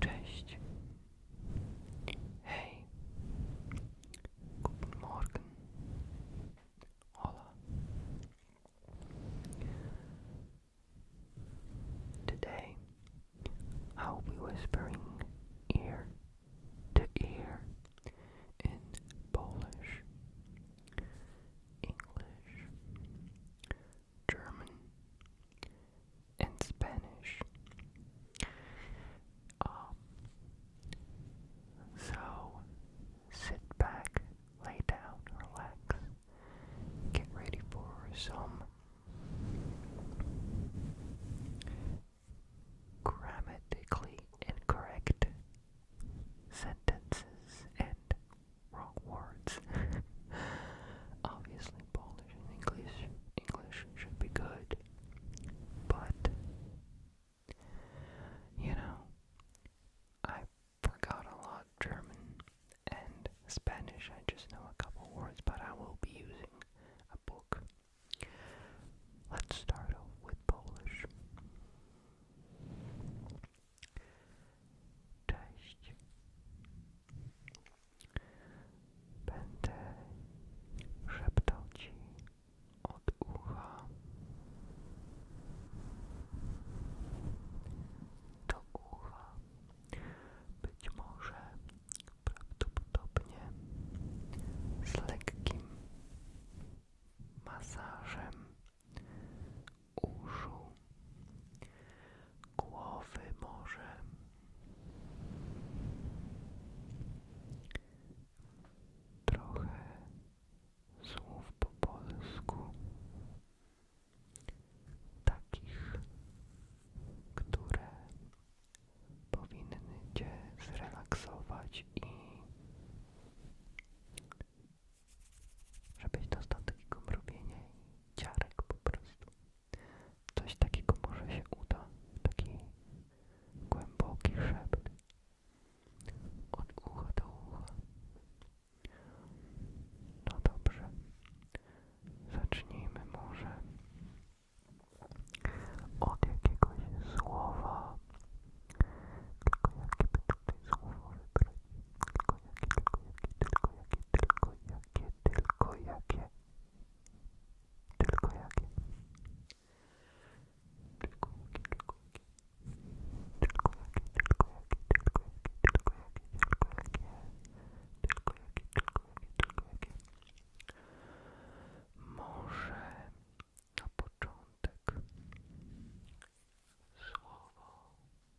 Cześć. Hej. Guten Morgen. Hola. Today I'll be whispering ear to ear in Polish, English, German, and Spanish. Um, so sit back, lay down, relax, get ready for some grammatically incorrect sentences and words. Obviously, Polish and English English should be good, but you know, I forgot a lot German and Spanish. I just know a couple words, but I will be using a book. Let's start off with Polish. Cześć. Będę szeptał od ucha do ucha. Być może prawdopodobnie z lekkim masażem uszu głowy może trochę słów po polsku takich, które powinny Cię zrelaksować i żebyś dostał takiego mrowienia i ciarek po prostu. Coś takiego może się uda. Taki głęboki szept. Od ucha do ucha. No dobrze. Zacznijmy może od jakiegoś słowa. Tylko jakie by tutaj słowo wybrać? tylko jakie, tylko jakie, tylko jakie, tylko jakie, tylko jakie, tylko jakie, tylko jakie, tylko jakie, tylko jakie, może na początek słowo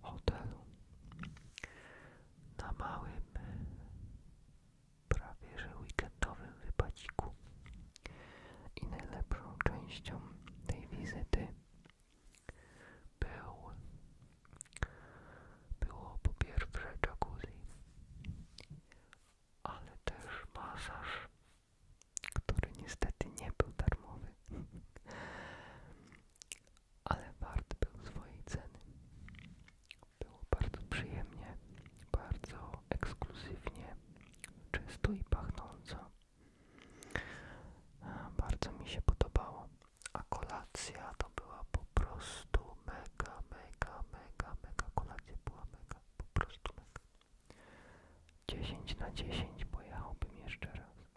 w hotelu na małym, prawie że weekendowym wypaciku. I najlepszą częścią tej wizyty był, było po pierwsze jacuzzi, ale też masaż, który niestety nie był darmowy ale wart był swojej ceny. Było bardzo przyjemnie, bardzo ekskluzywnie, czysto i pachnąco. Bardzo mi się podobało. A kolacja to była po prostu mega, mega, mega, mega. Kolacja była mega, po prostu mega. 10 na 10 pojechałbym jeszcze raz.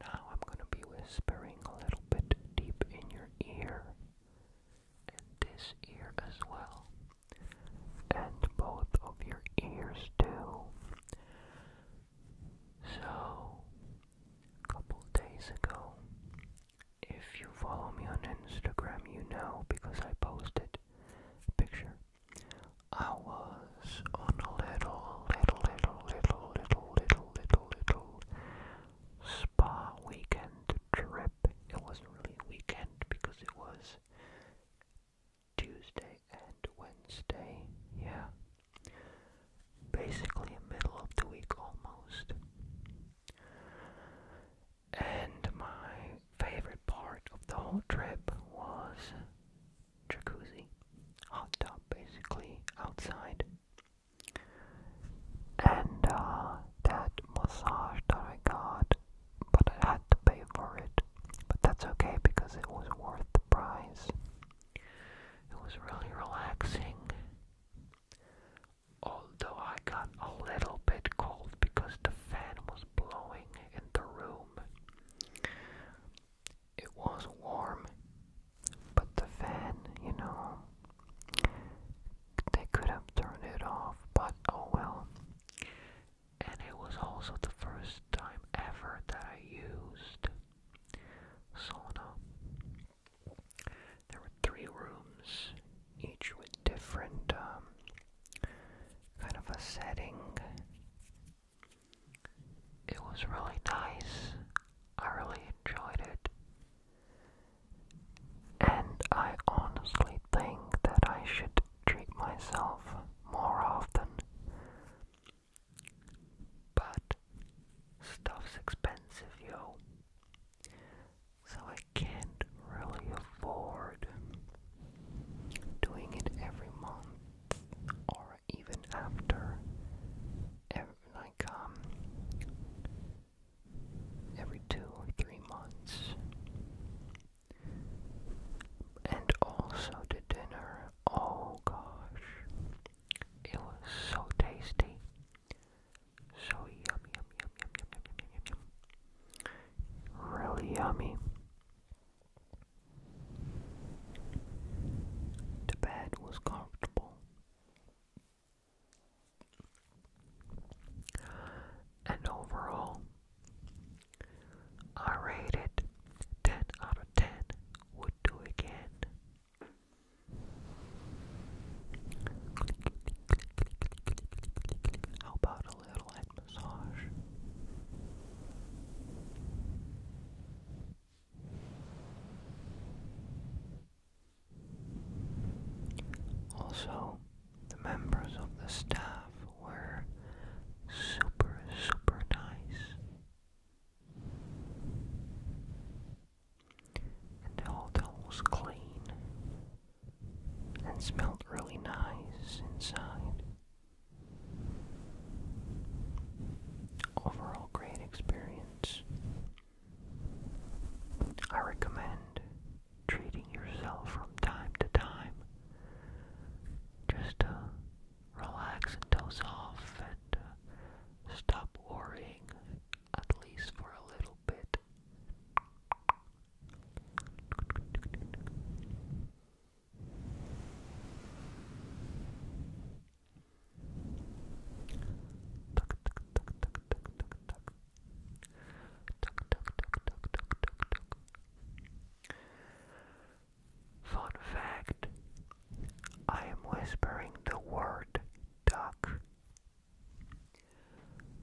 Now I'm going to be whispering a little bit deep in your ear, and this ear as well, and both of your ears too. So, a couple days ago, if you follow me on Instagram, you know because I posted a picture. I was on a little, little, little, little, little, little, little, little Spa Weekend Trip. It wasn't really a weekend because it was Tuesday and Wednesday. Yeah. Basically, middle of the week almost. And my favorite part of the whole trip was jacuzzi, hot tub basically outside and uh, that massage that I got, but I had to pay for it. But that's okay because it was worth the price. It was really relaxing. Although I got a little bit cold because the fan was blowing in the room. It was warm, but the fan, you know, they could have turned it off, but oh well. And it was also the first time ever that I used sauna. There were three rooms, each with different um, kind of a setting. It was really nice. I really enjoyed it. And I honestly think that I should treat myself more often. But stuff's expensive, yo. So I can't really afford doing it every month or even after like um every two or three months. And also the dinner, oh gosh, it was so tasty, so yummy, yummy, yummy, yummy, yummy, yummy, really yummy. The bed was comfortable. And overall, I rate it 10 out of 10 would do again. How about a little head massage? Also, the members of the staff were super, super nice. And the hotel was clean and smelled really nice inside. Overall great experience. I recommend treating yourself from time to time just to relax and doze off and uh, stop worrying at least for a little bit. Fun fact I am whispering the word duck,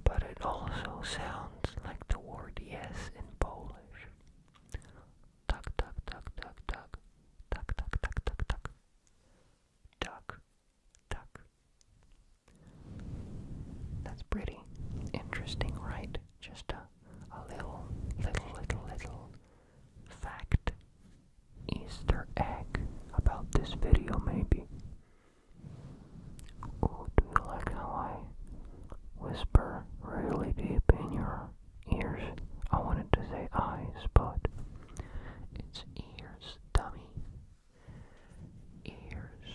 but it also sounds like the word yes in Polish duck, duck, duck, duck, duck, duck, duck, duck, duck, duck, duck, duck. That's pretty interesting, right? Just a, a little, little, little, little fact, Easter egg about this video, maybe. Oh, do you like how I whisper really deep in your ears. I wanted to say eyes, but it's ears, dummy. Ears.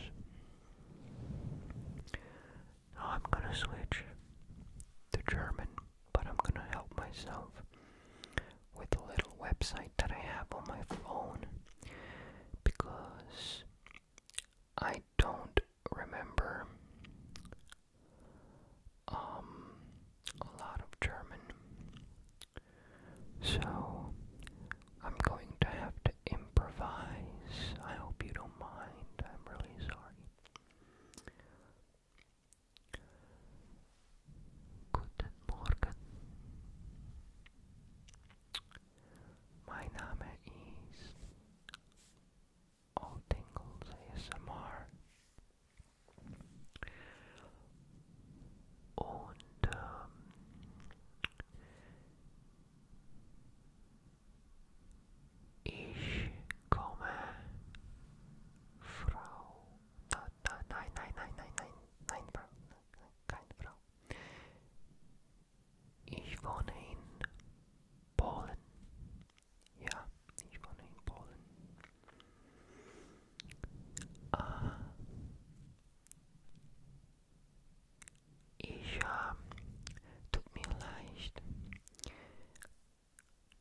I'm gonna switch to German, but I'm gonna help myself with a little website that I have on my phone because I don't remember um, a lot of German. So I'm going to have to improvise. I hope you don't mind. I'm really sorry. Guten Morgen. Mein Name is All Tingles ASMR. Und ähm, ich komme, Frau. Da, da, nein, nein, nein, nein, nein, nein, Frau. Nein, keine Frau. Ich wohne in Polen. Ja, ich wohne in Polen. ich, uh, tut mir leid.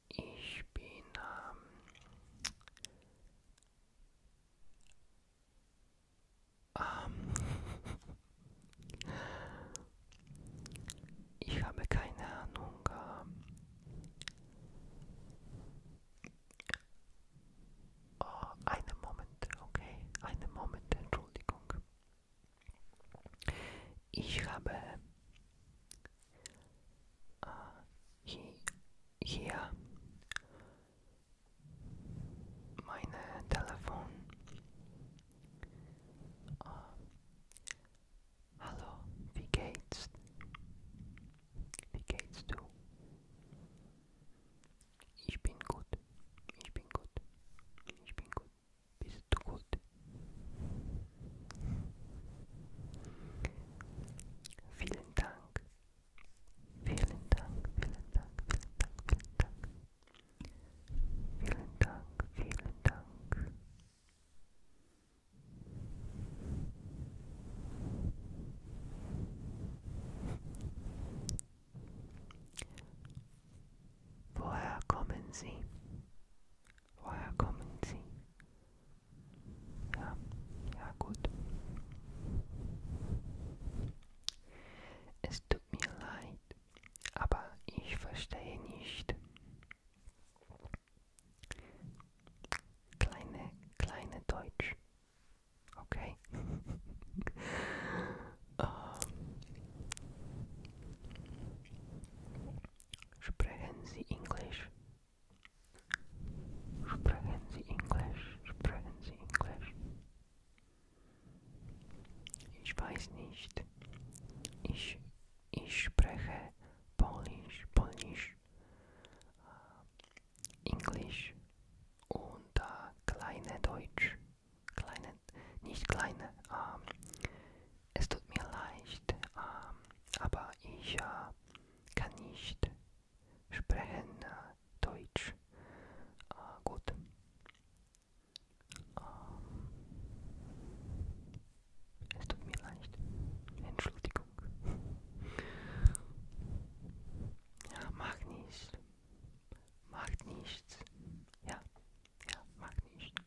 Ich bin, Ich habe keine Ahnung. Oh, einen Moment, okay. Einen Moment, Entschuldigung. Ich habe äh, hier meine Telefon. Äh, Hallo, wie geht's? Wie geht's du? Ich bin gut. Ich bin gut. Ich bin gut. Bist du gut? Vielen Dank. Vielen Dank, vielen Dank, vielen Dank, vielen Dank. Vielen Dank, vielen Dank. Woher kommen Sie? Woher kommen Sie? Ja, ja gut. Es tut mir leid, aber ich verstehe nicht. Kleine, kleine Deutsch. Okay. um, Sie Englisch? Sprechen Sie Englisch? Sprechen Sie Englisch? Ich weiß nicht. Ich Ich spreche Polnisch, Polnisch, äh, Englisch und äh, kleine Deutsch. Kleine, nicht kleine. Ähm, es tut mir leid, äh, aber ich äh, kann nicht sprechen äh, Deutsch. Äh, gut. Ähm, es tut mir leid. Entschuldigung. Ja, mag nichts. Macht nichts. Ja, ja, macht nichts.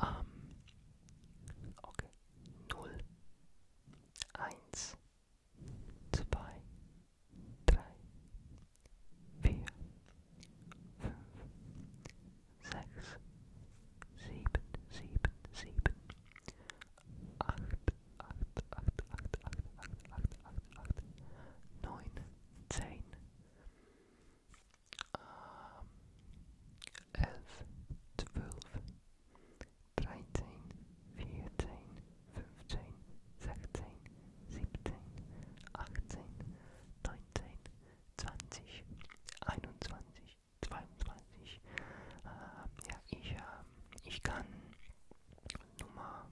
Ähm, okay. Null. Eins. Zwei. Drei. vier, fünf, sechs, sieben, sieben, sieben, acht, acht, acht, acht, acht, acht, acht, acht, acht, neun, zehn, ähm, elf, zwölf, dreizehn, vierzehn, fünfzehn, sechzehn, siebzehn, achtzehn, 19, 19, 20, 21, 22. Äh, ja, ich, äh, ich kann Nummer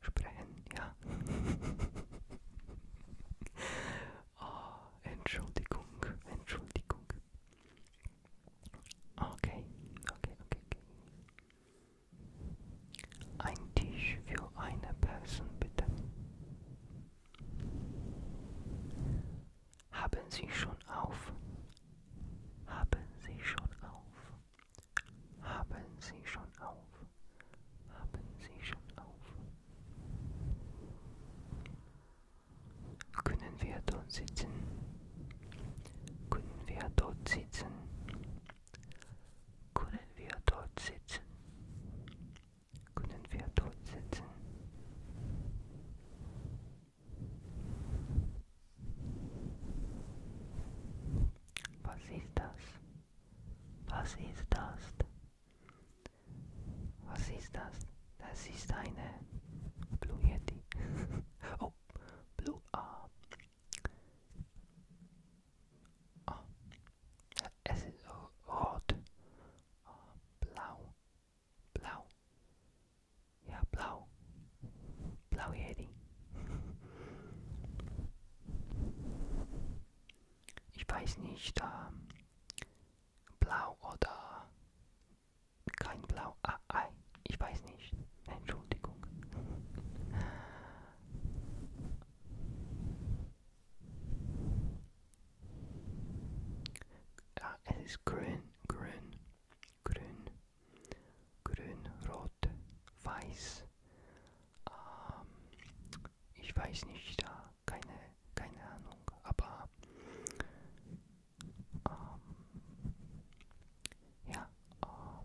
sprechen, ja. oh, Entschuldigung, Entschuldigung. Okay, okay, okay, okay. Ein Tisch für eine Person bitte. Haben Sie schon auf? Haben Sie schon auf? Haben Sie schon auf? Haben Sie schon auf? Können wir dort sitzen? Können wir dort sitzen? Können wir dort sitzen? Können wir dort sitzen? Was ist das? Was ist das? Was ist das? Das ist eine Blue Yeti. oh, Blue. Ah. Oh. Es ist rot. Oh, blau. Blau. Ja, blau. Blau Yeti. Ich weiß nicht, ähm, blau oder kein blau. Ah, ei. Ich weiß nicht. Entschuldigung. Ja, es ist grün, grün, grün, grün, rot, weiß. Ähm, ich weiß nicht, keine, keine Ahnung, aber ähm, ja, ähm,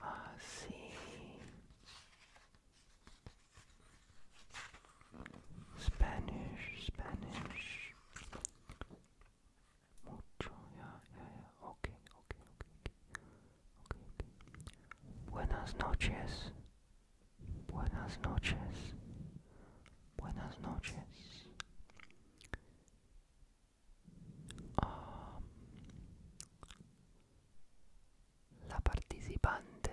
Así. Spanish, Spanish. Mucho, yeah, yeah, yeah. okay, okay, okay. Okay, okay. Buenas noches. Buenas noches. Buenas noches. Ah, la participante,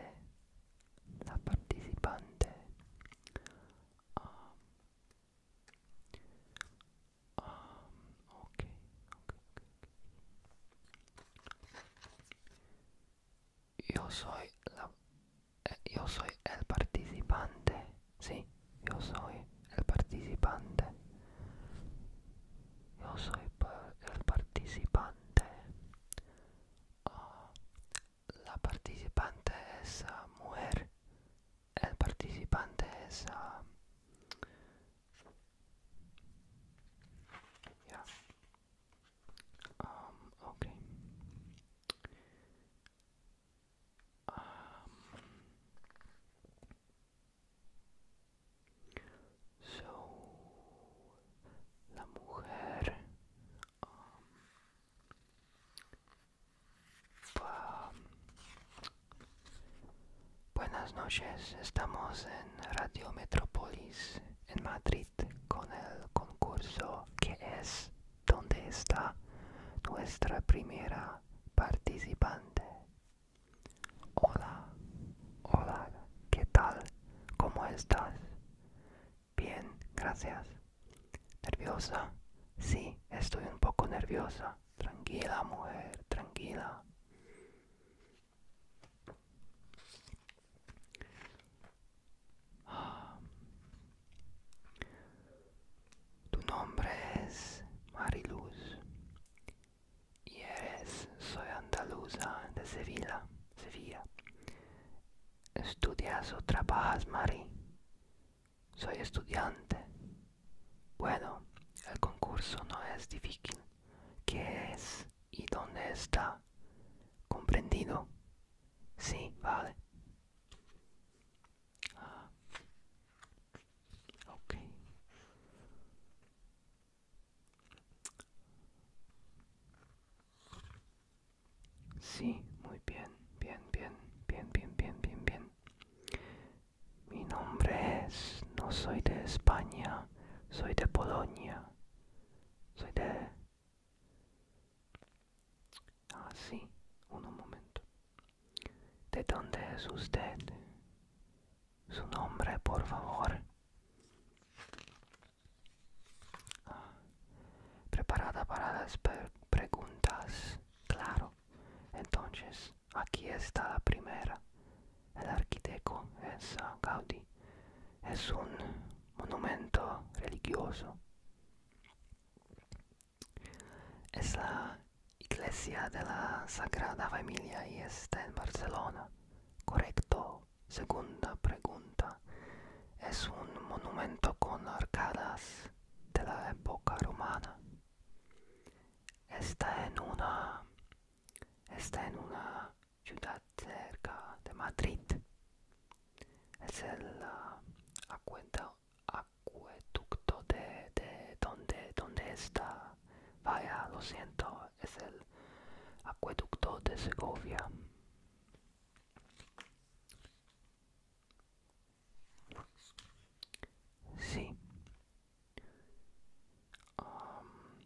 la participante ah, ah, okay yo soy la, eh, yo soy el participante sí yo soy el participante yo soy el participante ah, la participante es mujer el participante es a um, okay la mujer um, Buenas noches, estamos en Radio Metrópolis en Madrid con el concurso que es ¿Dónde está nuestra primera participante. Hola, hola, ¿qué tal? ¿Cómo estás? Bien, gracias. ¿Nerviosa? Sí, estoy un poco nerviosa. Tranquila, mujer, tranquila. Tu nombre es Mariluz y eres, soy andaluza de Sevilla, Sevilla. ¿Estudias o trabajas, Mari? Soy estudiante. Bueno, el concurso no es difícil. ¿Qué es y dónde está? ¿Comprendido? Sí, vale. Sí, muy bien, bien, bien, bien, bien, bien, bien, bien. Mi nombre es, no soy de España, soy de Polonia, soy de... Ah, sí, un momento. ¿De dónde es usted? Su nombre, por favor. Ah, ¿Preparada para las preguntas? Claro. Entonces, aquí está la primera. El arquitecto es Gaudí. Es un monumento religioso. Es la iglesia de la Sagrada Familia y está en Barcelona. Correcto. Segunda pregunta. Es un monumento con arcadas de la época romana. Está en una, está en una ciudad cerca de Madrid. Es el ah, acueducto, de, de donde, donde está. Vaya, lo siento, es el acueducto de Segovia. Sí. Um,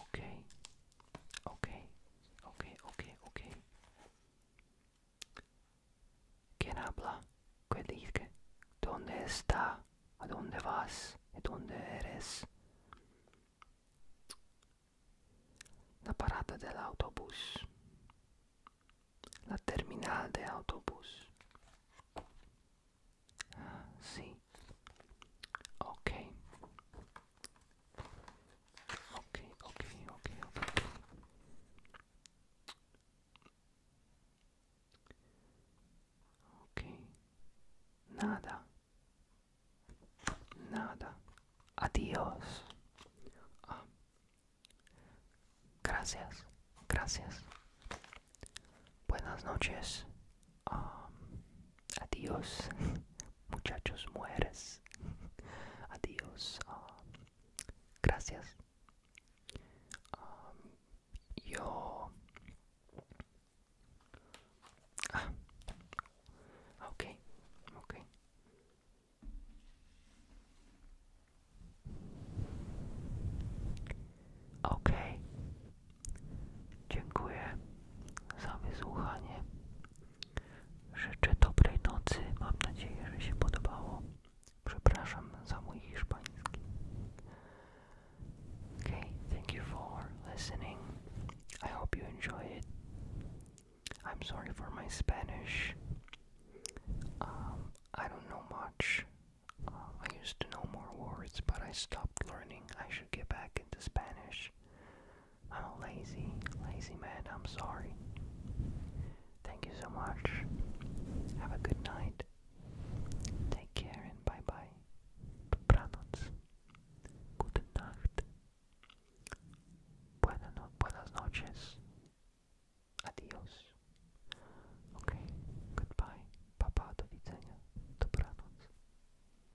Ok, ok, ok, ok, ok. ¿Quién habla? ¿Qué dice? ¿Dónde está? ¿A dónde vas? ¿Y dónde eres? La parata dell'autobus. La terminal de autobús. Ah, sì. Ok. Okay, okay, ok, ok. Nada. Nada. Adiós. Ah. Gracias. Gracias. Buenas noches. Ah adiós, muchachos, mueres, adiós, ah, gracias. Ah, yo. Ah, okay, ok, ok. dziękuję za wysłuchanie. Życzę dobrej nocy. Mam nadzieję, że się podobało. Przepraszam za mój hiszpański. Okay, thank you for listening. I hope you enjoy it. I'm sorry for my Spanish. Um, I don't know much. Um, I used to know more words, but I stopped learning. I should get back into Spanish. I'm oh, a lazy, lazy man. I'm sorry. Thank you so much. Have a good night. Take care and bye bye. Dobranoc. Good night. buenas noches. Adios. Okay. Goodbye. Papa, do Dobranoc.